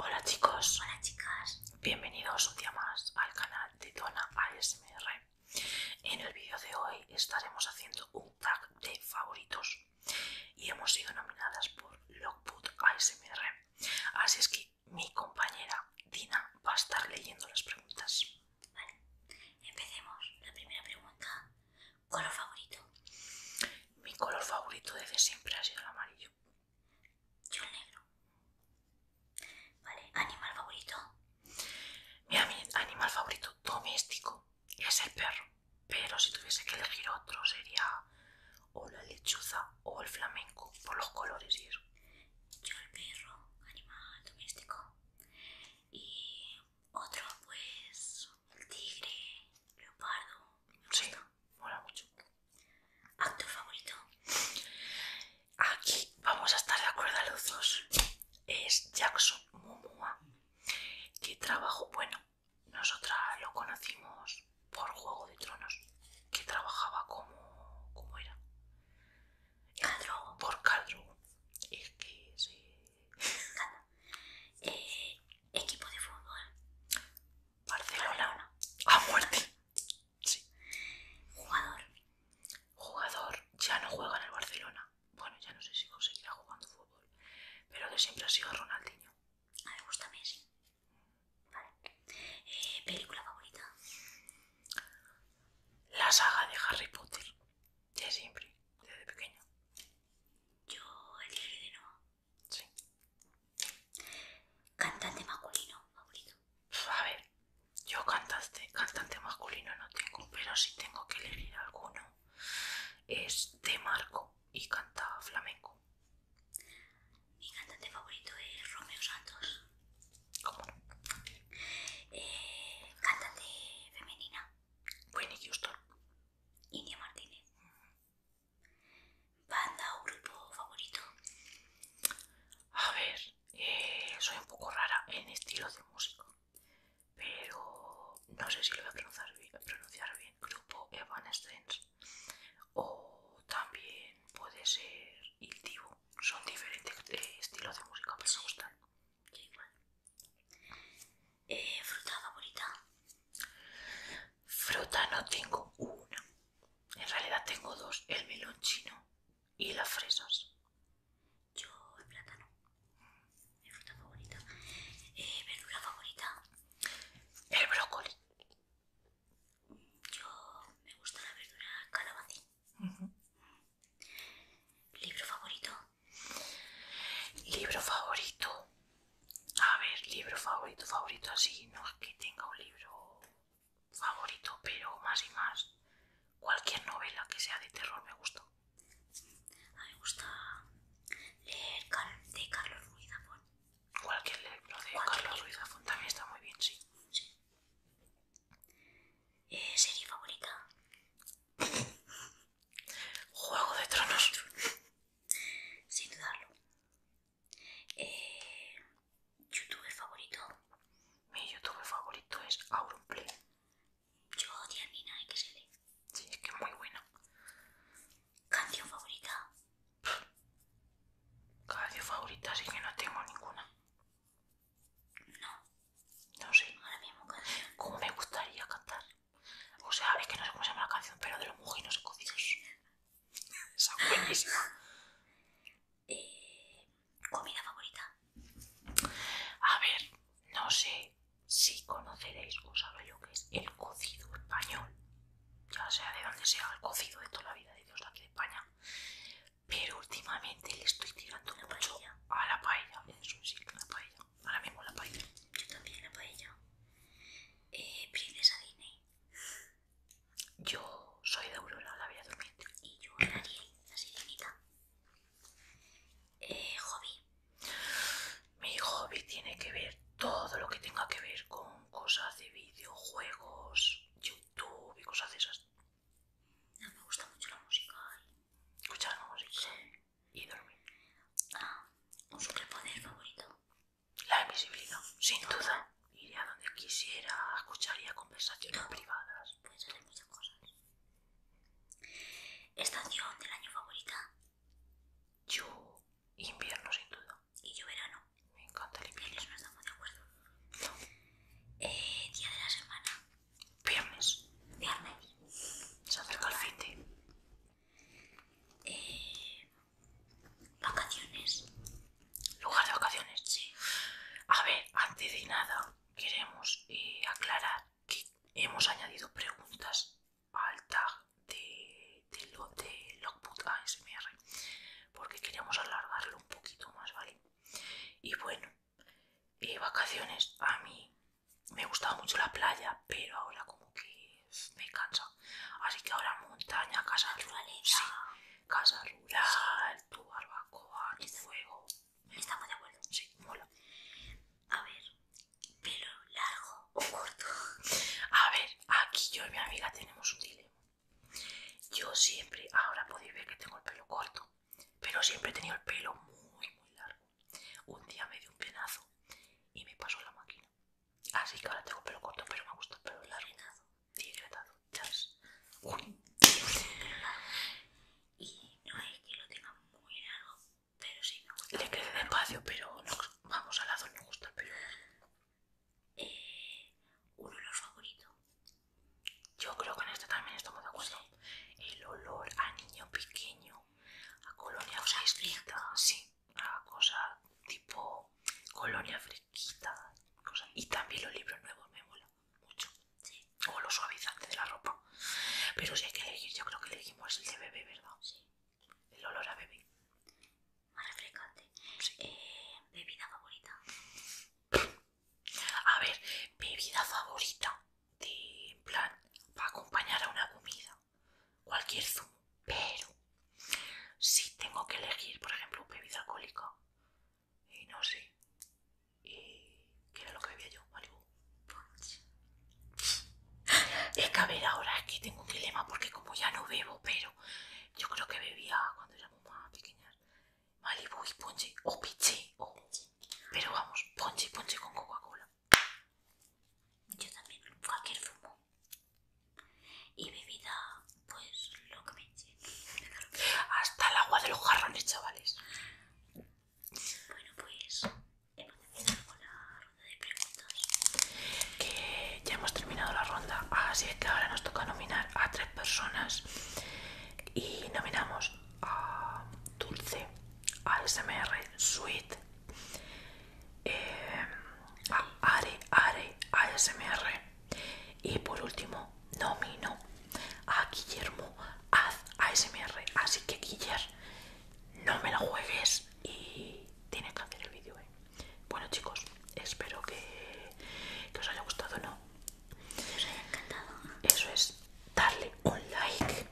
Hola chicos. Hola chicas. Bienvenidos un día más al canal de Dona ASMR. En el vídeo de hoy estaremos haciendo un tag de favoritos y hemos sido nominadas por Logboot ASMR. Así es que mi compañera Dina va a estar leyendo las preguntas. Vale, empecemos. La primera pregunta, ¿color favorito? Mi color favorito desde siempre ha sido el amarillo. Yo el negro. Vale, animal favorito. Mira, mi animal favorito doméstico es el perro. Pero si tuviese que elegir otro sería o la lechuza o el flamenco por los colores y eso. Yo el perro, animal doméstico. Y otro pues el tigre, leopardo. Sí, mola mucho. ¿Actor favorito? Aquí vamos a estar de acuerdo a los dos. Es Jackson Momoa. Que trabajo, bueno, nosotras lo conocimos por Juego de Tronos, que trabajaba como, ¿cómo era. Caldro. Por Caldro. Es que sí. Eh, equipo de fútbol. Barcelona. A muerte. Sí. Jugador. Jugador. Ya no juega en el Barcelona. Bueno, ya no sé si conseguirá jugando fútbol. Pero de siempre ha sido Ronaldinho. me gusta Messi. Vale. Eh, ¿Película favorita? La saga de Harry Potter. De siempre, desde pequeño. Yo el de Noah. Cantante masculino favorito. A ver, yo cantaste, cantante masculino no tengo, pero si tengo que elegir alguno, es de Marco y canta flamenco. Mi cantante favorito es Romeo Santos. ¿Cómo eh, cantante femenina. Winnie Houston. India Martínez. Banda o grupo favorito. A ver, eh, soy un poco rara en estilo de música, pero no sé si lo voy a pronunciar bien, pronunciar bien grupo Evanescence o también puede ser Iltivo. son diferentes eh, estilos de música, pero me gustan. igual. Eh, ¿Fruta favorita? Fruta no tengo una, en realidad tengo dos, el melón chino ¿Y las fresas? Yo el plátano. Mi fruta favorita. Eh, verdura favorita. El brócoli. Yo me gusta la verdura calabacín. ¿Libro favorito? Libro favorito. A ver, libro favorito, favorito así. No es que tenga un libro favorito, pero más y más cualquier novela que sea de terror me gusta. me gusta leer de Carlos Ruiz Zafón. Cualquier libro de Carlos Ruiz Zafón también está muy bien, sí. Eh, ¿Serie favorita? Juego de Tronos. Sin dudarlo. Eh, ¿Youtuber favorito? Mi Youtube favorito es Auronplay. Yo se lee. ¿eh? Sí, es que es muy bueno. ¿Canción favorita? Canción favorita así que no tengo ninguna. No. No sé. Ahora ¿Cómo me gustaría cantar? O sea, es que no sé cómo se llama la canción, pero de los mujinos escocidos. Esa buenísima. Eh, comida favorita. A ver, no sé si conoceréis o hablo lo que es el cocido español. Ya sea de donde sea el cocido de toda la vida de Dios de aquí de España. Pero últimamente le estoy tirando una paella. a la paella. paella. Ahora mismo la paella. Yo también la paella. Eh, princesa Disney. Yo soy de Aurora, la vida dormiente. Y yo, Ariel, la sirenita. Eh, hobby. Mi hobby tiene que ver todo lo que tenga que ver con cosas de videojuegos, YouTube y cosas de esas. No, me gusta mucho la música. Escuchar la música y dormir. Ah, un superpoder favorito. La invisibilidad, sin duda. Iría donde quisiera, escucharía conversaciones privadas. Puedes hacer muchas cosas. ¿Estación del año favorita? Yo, invierno, sin duda. Y yo, verano. Me encanta el invierno. no estamos de acuerdo. Eh, día de la semana. Viernes. Viernes. Se acerca el fin Eh, Vacaciones. Lugar de vacaciones. Sí. A ver, antes de nada queremos eh, aclarar que hemos añadido preguntas al tag de, de, ASMR porque queremos alargarlo un poquito más, ¿vale? Y bueno, eh, vacaciones. A mí me gustaba mucho la playa, pero ahora como que me cansa Así que ahora montaña, casa rural, casa rural, tu barbacoa, tu fuego. Estamos de acuerdo. Sí, mola. A ver, pelo largo o corto. A ver, aquí yo y mi amiga tenemos un dilema. Yo siempre, ahora podéis ver que tengo el pelo corto, pero siempre he tenido el pelo muy, muy largo. Un día me dio un penazo y me pasó la máquina. Así que ahora tengo el pelo corto, pero me gusta el pelo largo tiene Y no es que lo tenga muy largo, pero sí no Le queda despacio, pero vamos, al lado me gusta pero pelo. Eh, uno un olor favorito. Yo creo que en este también estamos de acuerdo. El olor a niño pequeño, a colonia o fresquita, sí una cosa tipo colonia fresquita, y también los libros nuevos me molan mucho, o los suavizantes de la ropa. Pero si hay que elegir, yo creo que elegimos el de bebé, ¿verdad? El olor a bebé. Más refrescante. Eh, bebida favorita. A ver, bebida favorita de en plan para acompañar a una comida. Cualquier zumo pero si tengo que elegir, por ejemplo, un bebida alcohólica y no sé, y ¿qué era lo que bebía yo? Malibu. Es que a ver, ahora es que tengo un dilema porque como ya no bebo, pero yo creo que bebía cuando éramos más pequeñas Malibu y ponche o piché Pero vamos, ponche y ponche con Coca-Cola. Yo también, cualquier fumo y bebida, pues lo que me eche Hasta el agua de los jarrones, chavales. Bueno, pues hemos terminado con la ronda de preguntas. Que ya hemos terminado la ronda, así es que ahora nos toca nominar a tres personas y nominamos a Dulce, a SMR Sweet, eh, a Are Are ASMR. Y por último, nomino a Guillermo ASMR. Así que Guillermo, no me lo juegues y tienes que hacer el vídeo. ¿eh? Bueno chicos, espero que, que os haya gustado, ¿no? Os haya encantado. Eso es, darle un like,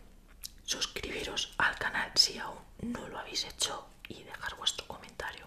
suscribiros al canal si aún no lo habéis hecho y dejar vuestro comentario.